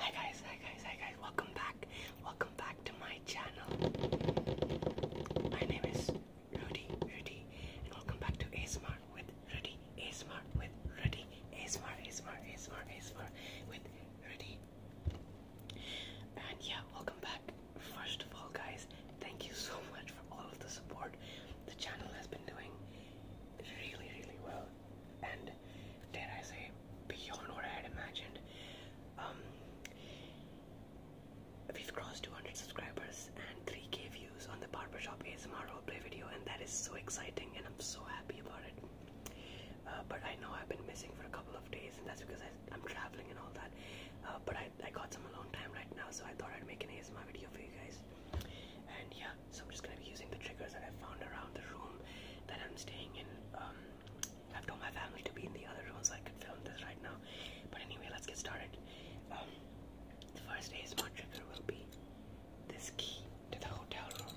Hi guys, hi guys, hi guys. Welcome back. Welcome back to my channel. My name is Rudy, Rudy, and welcome back to ASMR with Rudy, ASMR with Rudy, ASMR, ASMR, ASMR, ASMR with Rudy. And yeah, welcome back. First of all, guys, thank you so much for all of the support the channel has been doing really, really well, and dare I say, beyond what I had imagined. Um, we've crossed 200 subscribers and 3k views on the barber shop ASMR roleplay video, and that is so exciting, and I'm so happy about it. Uh, but I know I've been missing for a couple of days, and that's because I, am traveling and all that. Uh, but I, I got some alone time right now, so I thought I'd make an ASMR video for you guys. And yeah, so I'm just gonna be using the triggers that I found around the room that I'm staying in. Um, I've told my family to be in the other rooms. I could film this right now. But anyway, let's get started. Um, the first ASMR trigger will be this key to the hotel room.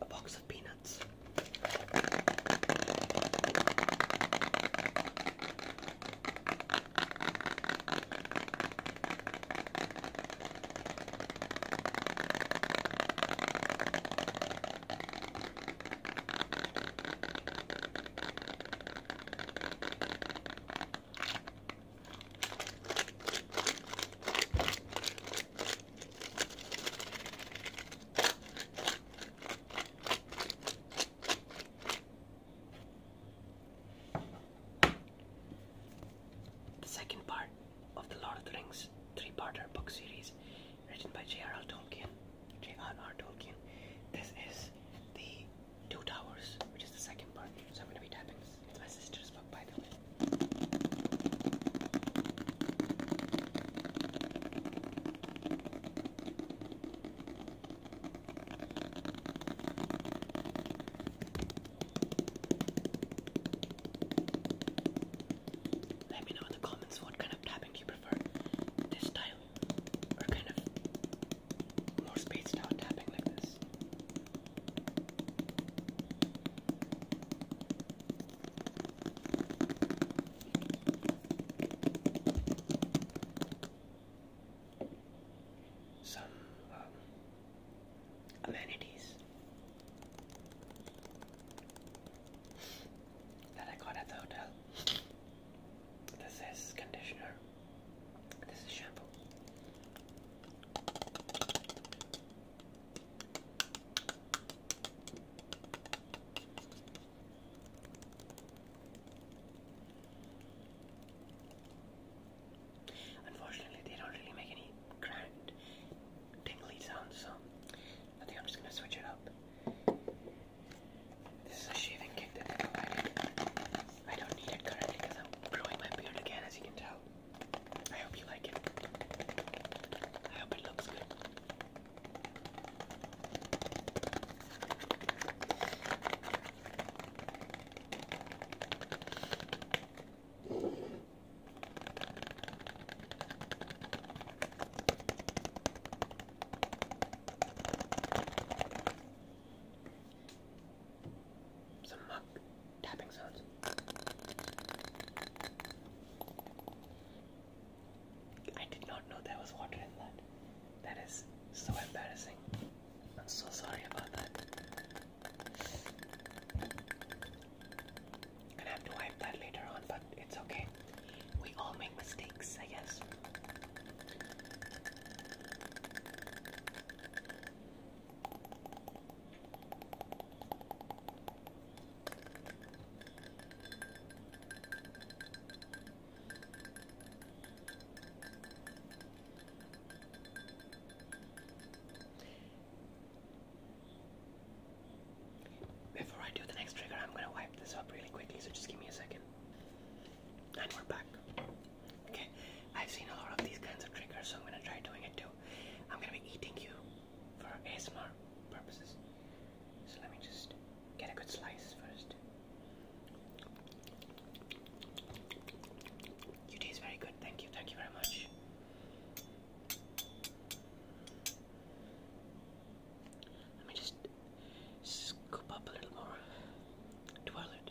a box of peanuts. The second part of the Lord of the Rings three-parter book series written by J.R.R. Tolkien. J.R.R. Tolkien. This is the Two Towers, which is the second part. So I'm going to be tapping my sister's book, by the way. Let me know in the comments what kind of tapping you prefer. This style or kind of more spaced out tapping like this this. Some um, amenities that I got at the hotel. This is conditioner. This is Unfortunately, they don't really make any grand sounds, so I think I'm just gonna switch it up. This is a shaving kit I don't need it currently because I'm growing my beard again, as you can tell. I hope you like it. I hope it looks good some mug tapping sounds. I did not know there was water in that. That is so embarrassing. I'm so sorry about that. Gonna have to wipe that later on, but it's okay. We all make mistakes, I guess. Before I do the next trigger, I'm gonna wipe this up really quickly, so just give me a second. And we're back. Okay, I've seen a lot of these kinds of triggers, so I'm gonna try doing it too. I'm gonna be eating you for ASMR purposes. So let me just get a good slice first. You taste very good, thank you, thank you very much. Let me just scoop up a little more. Toilet,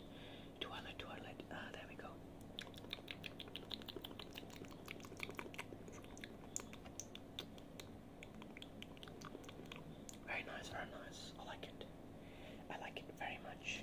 toilet, toilet. Ah, there we go. Very nice, very nice. I like it. I like it very much.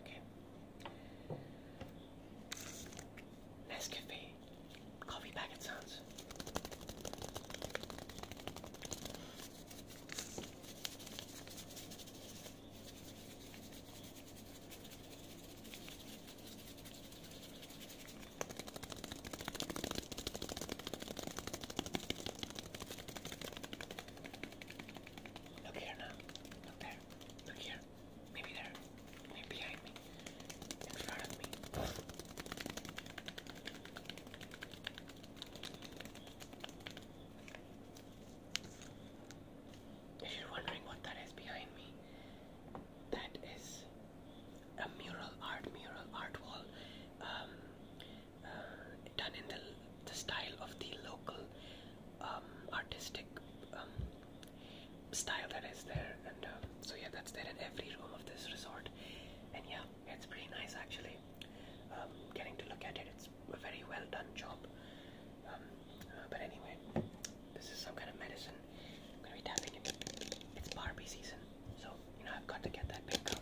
Okay. Nescafe coffee packet sounds. Look here now. Look there. Look here. Maybe there. Maybe behind me. In front of me. If you're wondering what that is behind me, that is a mural art, mural art wall. Um, done in the, the style of the local um, artistic um, style that is there. And uh, so, yeah, that's there in every room of this resort. And yeah, it's pretty nice actually. Um, getting to look at it, it's a very well done job. Uh, but anyway, this is some kind of medicine. I'm gonna be tapping it. It's Barbie season. So, you know, I've got to get that big up.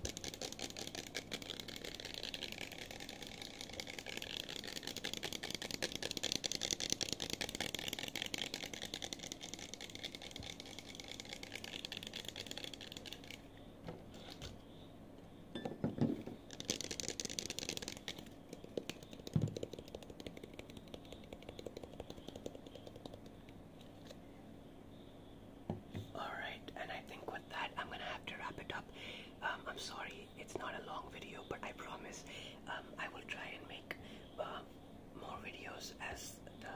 Alright, and I think with that, I'm gonna have to wrap it up. Um, I'm sorry, it's not a long video, but I promise um, I will try and make uh, more videos as the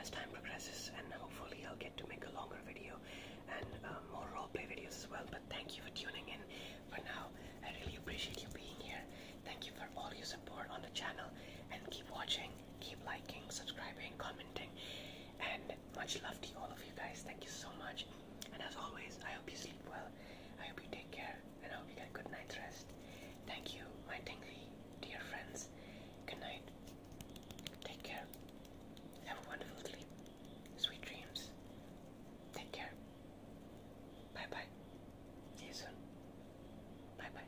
as time progresses, and hopefully I'll get to make a longer video and uh, more roleplay videos as well. But thank you for tuning in. For now, I really appreciate you being here. Thank you for all your support on the channel, and keep watching, keep liking, subscribing, commenting. And much love to all of you guys. Thank you so much. And as always, I hope you sleep well. I hope you take care. And I hope you get a good night's rest. Thank you, my tingly dear friends. Good night. Take care. Have a wonderful sleep. Sweet dreams. Take care. Bye bye. See you soon. Bye bye.